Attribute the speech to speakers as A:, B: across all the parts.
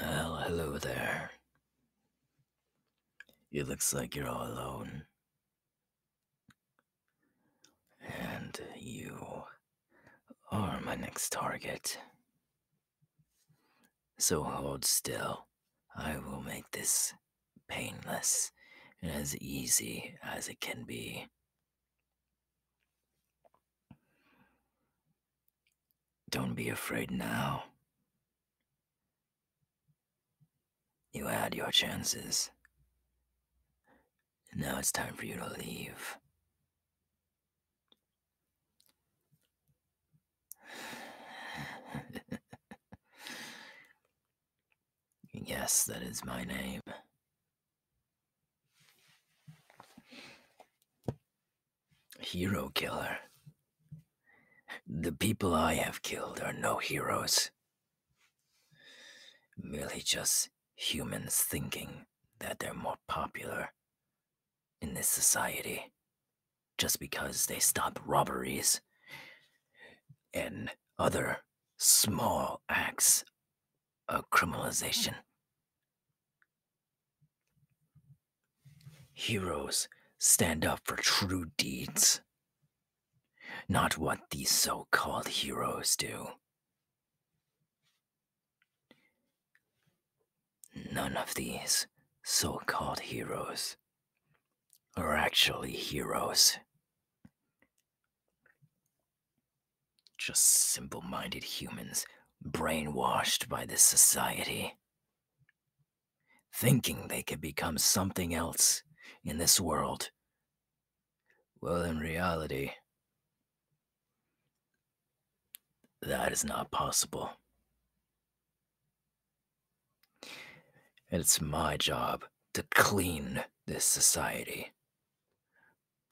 A: Well, hello there. It looks like you're all alone. And you are my next target. So hold still. I will make this painless and as easy as it can be. Don't be afraid now. You had your chances. Now it's time for you to leave. Yes, that is my name. Hero killer. The people I have killed are no heroes. Merely just humans thinking that they're more popular in this society just because they stop robberies and other small acts of criminalization. Heroes stand up for true deeds, not what these so called heroes do. None of these so called heroes are actually heroes. Just simple minded humans brainwashed by this society, thinking they could become something else in this world. Well, in reality, that is not possible. And it's my job to clean this society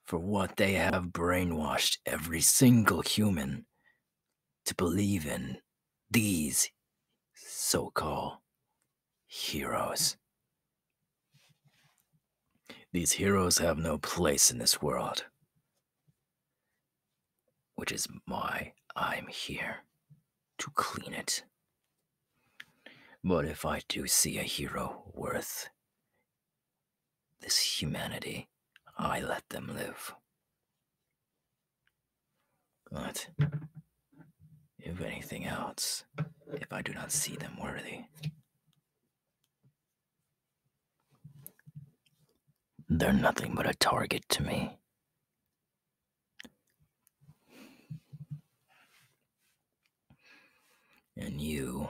A: for what they have brainwashed every single human to believe in these so called heroes. These heroes have no place in this world. Which is why I'm here to clean it. But if I do see a hero worth this humanity, I let them live. But if anything else, if I do not see them worthy, they're nothing but a target to me. And you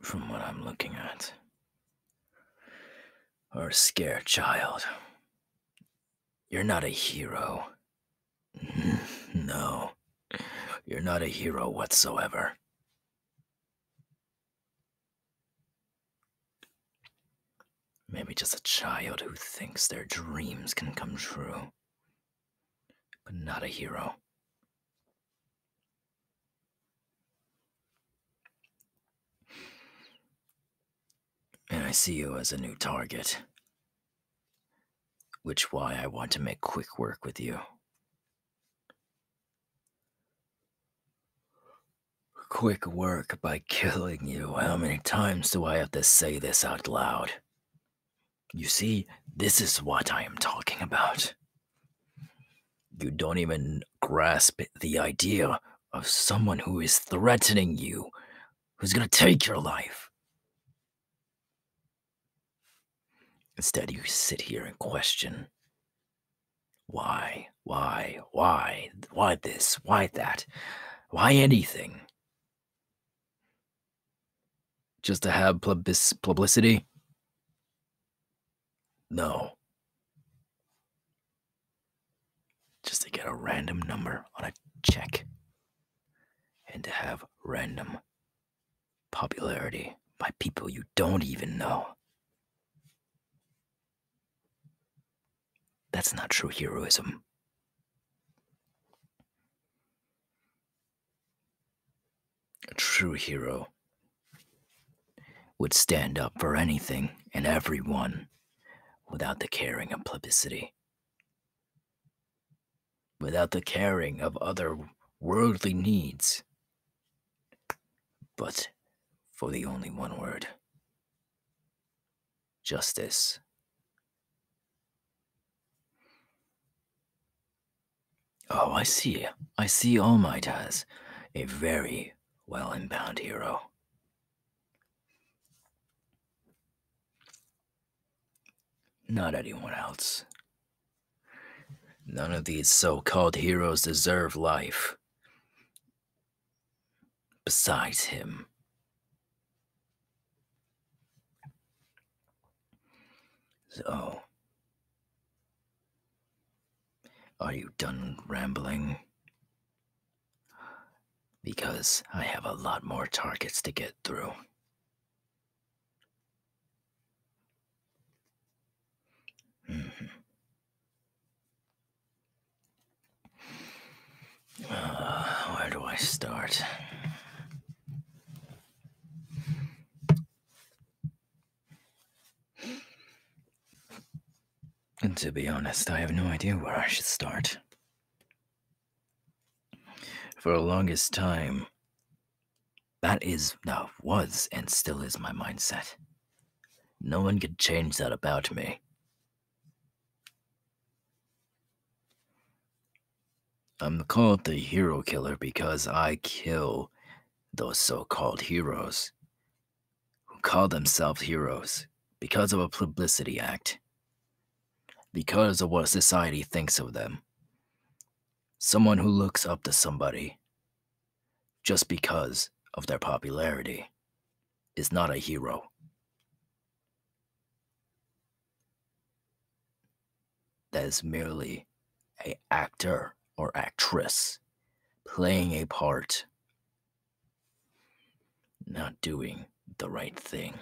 A: from what I'm looking at, are a scared child. You're not a hero. no. You're not a hero whatsoever. Maybe just a child who thinks their dreams can come true, but not a hero. And I see you as a new target which why I want to make quick work with you. Quick work by killing you. How many times do I have to say this out loud? You see, this is what I am talking about. You don't even grasp the idea of someone who is threatening you, who's going to take your life. Instead, you sit here and question why, why, why, why this, why that, why anything? Just to have publicity? No. Just to get a random number on a check and to have random popularity by people you don't even know. That's not true heroism. A true hero would stand up for anything and everyone without the caring of publicity without the caring of other worldly needs, but for the only one word justice. Oh, I see. I see All Might as a very well inbound hero. Not anyone else. None of these so called heroes deserve life. Besides him. So. Are you done rambling? because I have a lot more targets to get through. Mm-hmm. Uh, where do I start? And to be honest, I have no idea where I should start. For a longest time, that is, now was, and still is my mindset. No one could change that about me. I'm called the hero killer because I kill those so called heroes who call themselves heroes because of a publicity act because of what society thinks of them. Someone who looks up to somebody just because of their popularity is not a hero. That is merely a actor or actress playing a part not doing the right thing.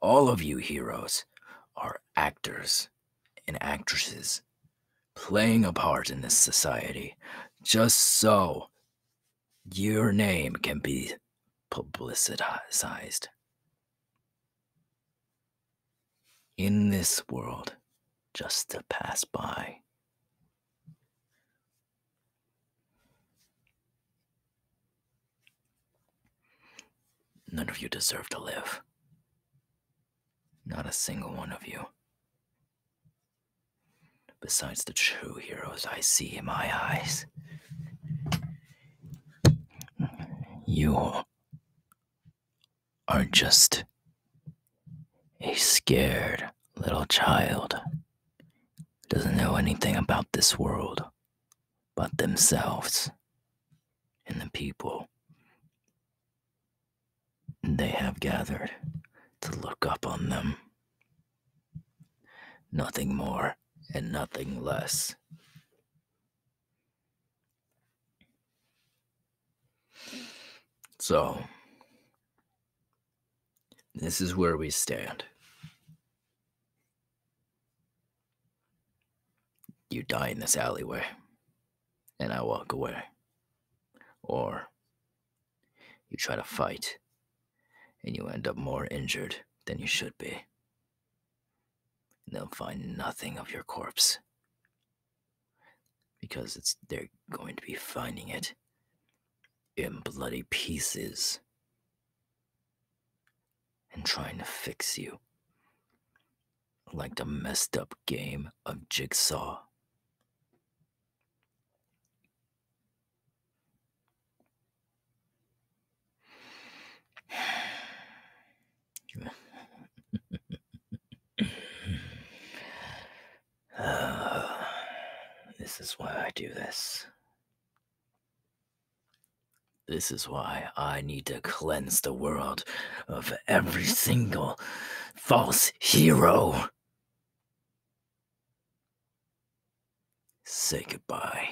A: All of you heroes are actors and actresses playing a part in this society just so your name can be publicized in this world just to pass by. None of you deserve to live. Not a single one of you. Besides the true heroes I see in my eyes, you are just a scared little child. Doesn't know anything about this world but themselves and the people they have gathered to look up on them. Nothing more and nothing less. So, this is where we stand. You die in this alleyway, and I walk away. Or you try to fight, and you end up more injured than you should be they'll find nothing of your corpse because it's they're going to be finding it in bloody pieces and trying to fix you like the messed up game of jigsaw this is why I do this. This is why I need to cleanse the world of every single false hero. Say goodbye.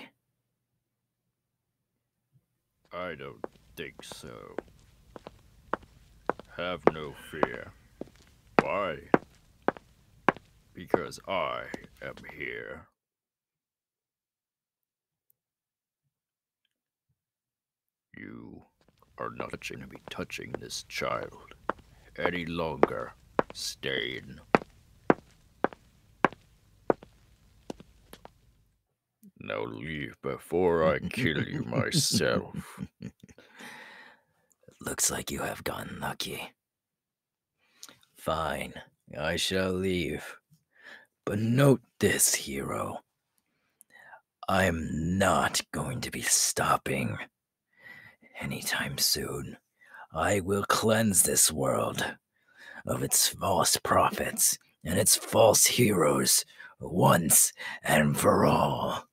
A: I don't think so. Have no fear. Why? Because I am here. You are not going to be touching this child any longer, Stain. Now leave before I kill you myself. Looks like you have gotten lucky. Fine, I shall leave. But note this, hero. I'm not going to be stopping anytime soon. I will cleanse this world of its false prophets and its false heroes once and for all.